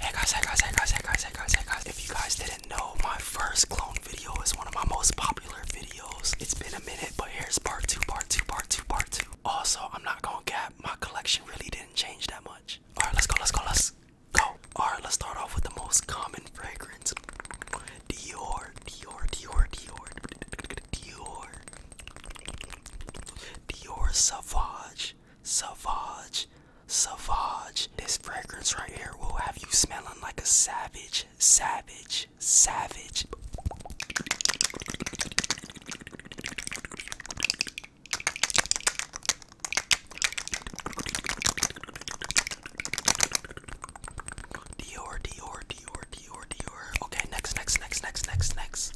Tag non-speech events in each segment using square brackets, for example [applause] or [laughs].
Hey guys, hey guys, hey guys, hey guys, hey guys, hey guys. If you guys didn't know, my first clone video is one of my most popular videos. It's been a minute, but here's part two, part two, part two, part two. Also, I'm not gonna cap, my collection really didn't change that much. Alright, let's go, let's go, let's go. Alright, let's start off with the most common fragrance. Dior, Dior, Dior, Dior, Dior, Dior Savage. Savage, Savage. This fragrance right here will have you smelling like a savage, savage, savage. Dior, Dior, Dior, Dior, Dior. Okay, next, next, next, next, next, next.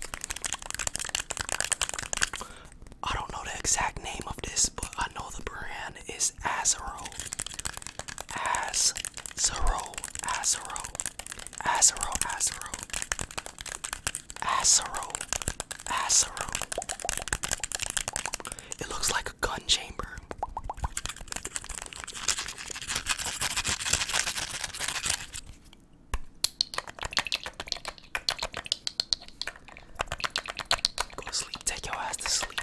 I don't know the exact name of this, but I know the brand is Azero. Azero, Azero, Azero, Azero, Azero, Azero. It looks like a gun chamber. Go to sleep. Take your ass to sleep.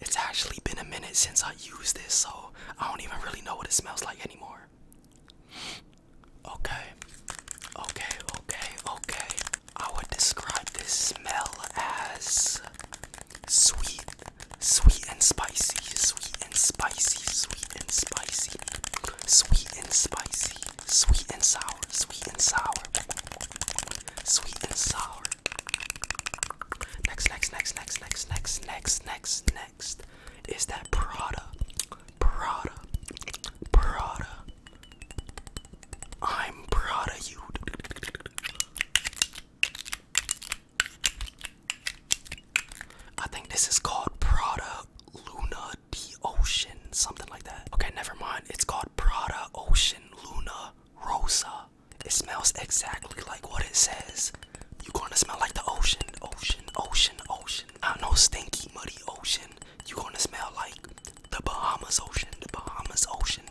It's actually been a minute since I used this, so I don't even really know what it smells like anymore. Okay, okay, okay, okay. I would describe this smell as sweet, sweet and spicy, sweet and spicy, sweet and spicy, sweet and spicy. Sweet and sour, sweet and sour, sweet and sour. Next, next, next, next, next, next, next, next, next is that Prada, Prada, Prada. I'm proud you. I think this is called Prada. Luna the Ocean, something like that. Okay, never mind. It's called Prada Ocean Luna Rosa. It smells exactly like what it says. You're gonna smell like the ocean, ocean, ocean, ocean. Not no stinky, muddy ocean. You're gonna smell like the Bahamas Ocean, the Bahamas Ocean.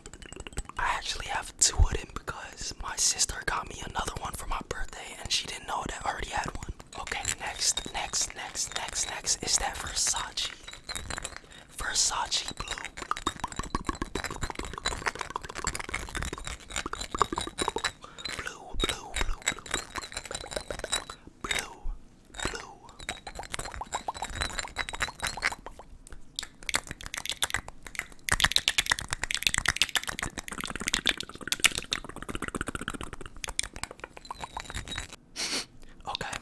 I actually have two of them because my sister got me another one for my birthday and she didn't know that I already had one. Okay, next, next, next, next, next is that Versace. Versace blue. Blue, blue, blue, blue, blue. Blue, blue. [laughs] Okay,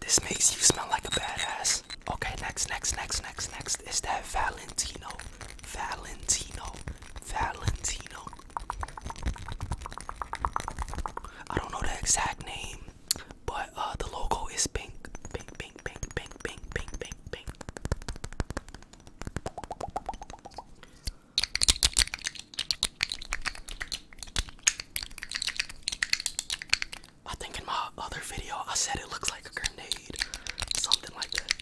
this makes you smell like a badass. Okay, next, next, next, next, next is that Valentino. Valentino. Valentino. I don't know the exact name, but uh, the logo is pink. Pink, pink, pink, pink, pink, pink, pink, pink. I think in my other video I said it looks like a grenade, something like that.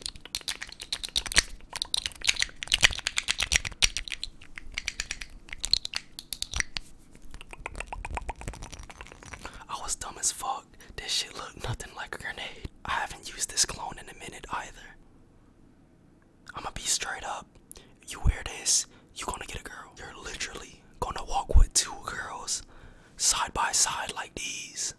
I was dumb as fuck. This shit looked nothing like a grenade. I haven't used this clone in a minute either. I'ma be straight up. You wear this, you gonna get a girl. You're literally gonna walk with two girls side by side like these.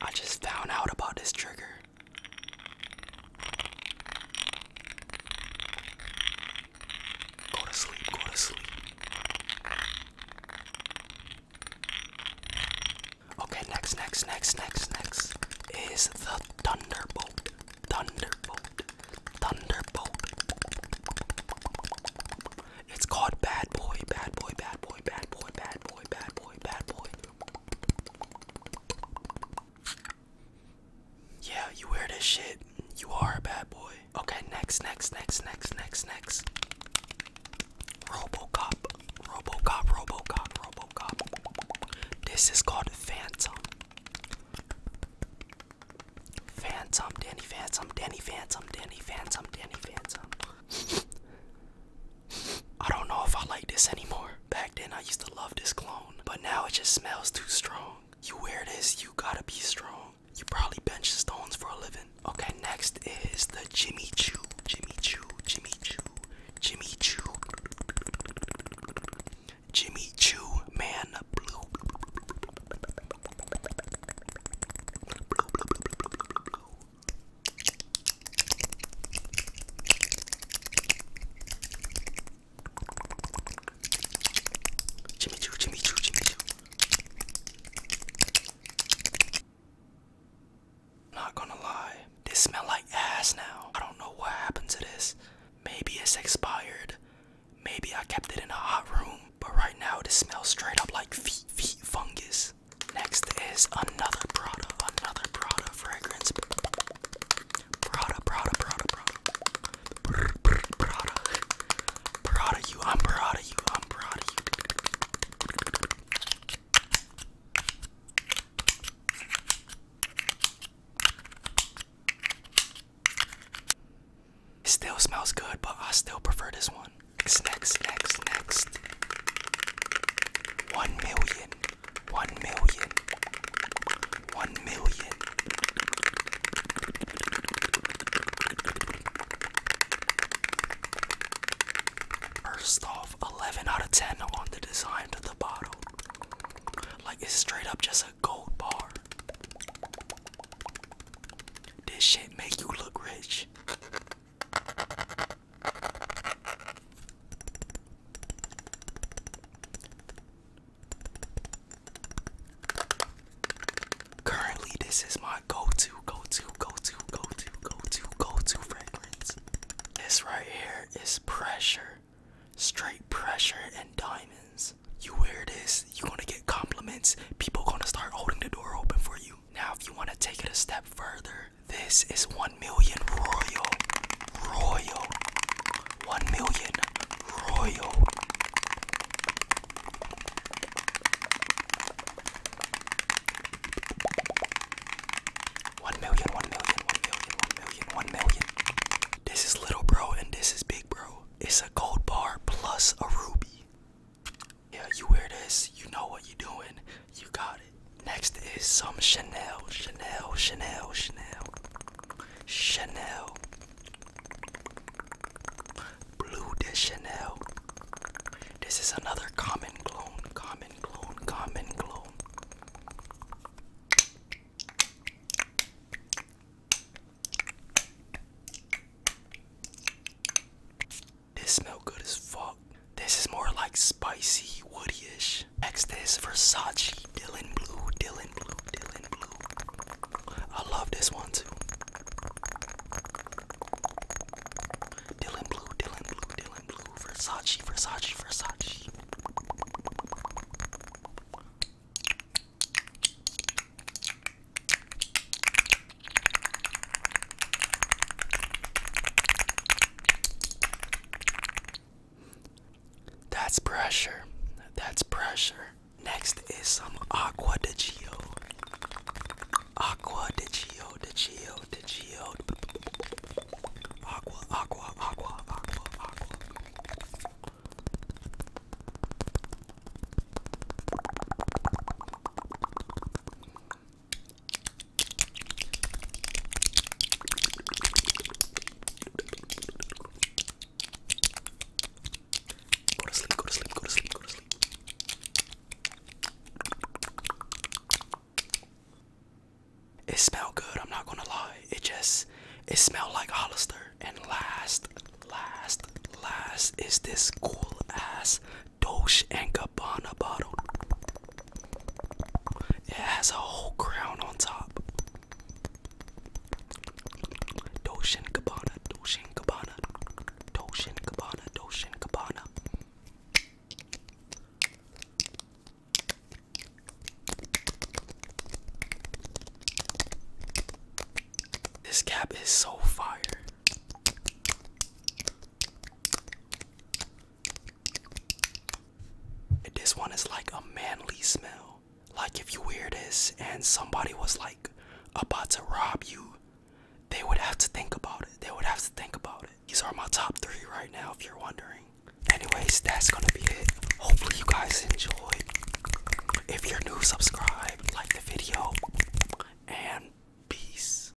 I just found out about this trigger. Go to sleep, go to sleep. Okay, next, next, next, next, next is the Thunderbolt. Thunderbolt. Thunderbolt. It's called Bad Boy, Bad Boy, Bad Boy, Bad Boy, Bad Boy, Bad Boy, Bad Boy. Yeah, you wear this shit. You are a bad boy. Okay, next, next, next, next, next, next. Robocop. Robocop, Robocop, Robocop. This is called Phantom. Phantom, Danny Phantom, Danny Phantom, Danny Phantom, Danny Phantom. I don't know if I like this anymore. Back then I used to love this clone, but now it just smells too strong. You wear this, you gotta be strong. You probably bench stones for a living. Okay, next is the Jimmy Choo. Jimmy Choo, Jimmy Choo, Jimmy Choo. Jimmy Choo Man Blue. Jimmy Choo, Jimmy Choo, Jimmy Choo. Not gonna lie, this smell like ass now. I don't know what happened to this. Maybe it's expired. Maybe I kept it in a hot room. But right now, this smells straight up like feet, feet fungus. Next is another Prada, another Prada fragrance. Prada, Prada, Prada, Prada. Prada. Prada you, I'm Prada you, I'm Prada you. still smells good, but I still prefer this one. Next, next, next, next. One million. One million. One million. First off, 11 out of 10 on the design of the bottle. Like, it's straight up just a gold bar. This shit make you look rich. Currently, this is my go-to, go-to, go-to, go-to, go-to, go-to fragrance. This right here is pressure, straight pressure and diamonds. You wear this, you're gonna get compliments. People gonna start holding the door open for you. Now, if you want to take it a step further, this is 1 million royal, royal, 1 million royal. One million, one million, one million, one million, one million. This is little bro and this is big bro. It's a gold bar plus a ruby. Yeah, you wear this, you know what you're doing, you got it. Next is some Chanel, Chanel, Chanel, Chanel, Chanel, Blue de Chanel. This is another common clone, common clone, common clone. This smell good as fuck. This is more like spicy, woody-ish. Next is Versace Dylan Blue, Dylan Blue, Dylan Blue. I love this one too. Dylan Blue, Dylan Blue, Dylan Blue, Versace, Versace, Versace. That's pressure. That's pressure. Next is some Aqua de Gio. Aqua de Gio, de Gio, de Gio. Aqua, aqua, aqua, aqua, aqua. It smelled good, I'm not gonna lie. It just it smelled like Hollister. And last, last, last is this cool ass Doge and Gabbana bottle. It has a whole crown on top. Dolce & Gabbana, Dolce & Gabbana, Dolce & This cap is so fire. This one is like a manly smell. Like if you wear this and somebody was like about to rob you, they would have to think about it. They would have to think about it. These are my top three right now if you're wondering. Anyways, that's gonna be it. Hopefully you guys enjoyed. If you're new, subscribe, like the video, and peace.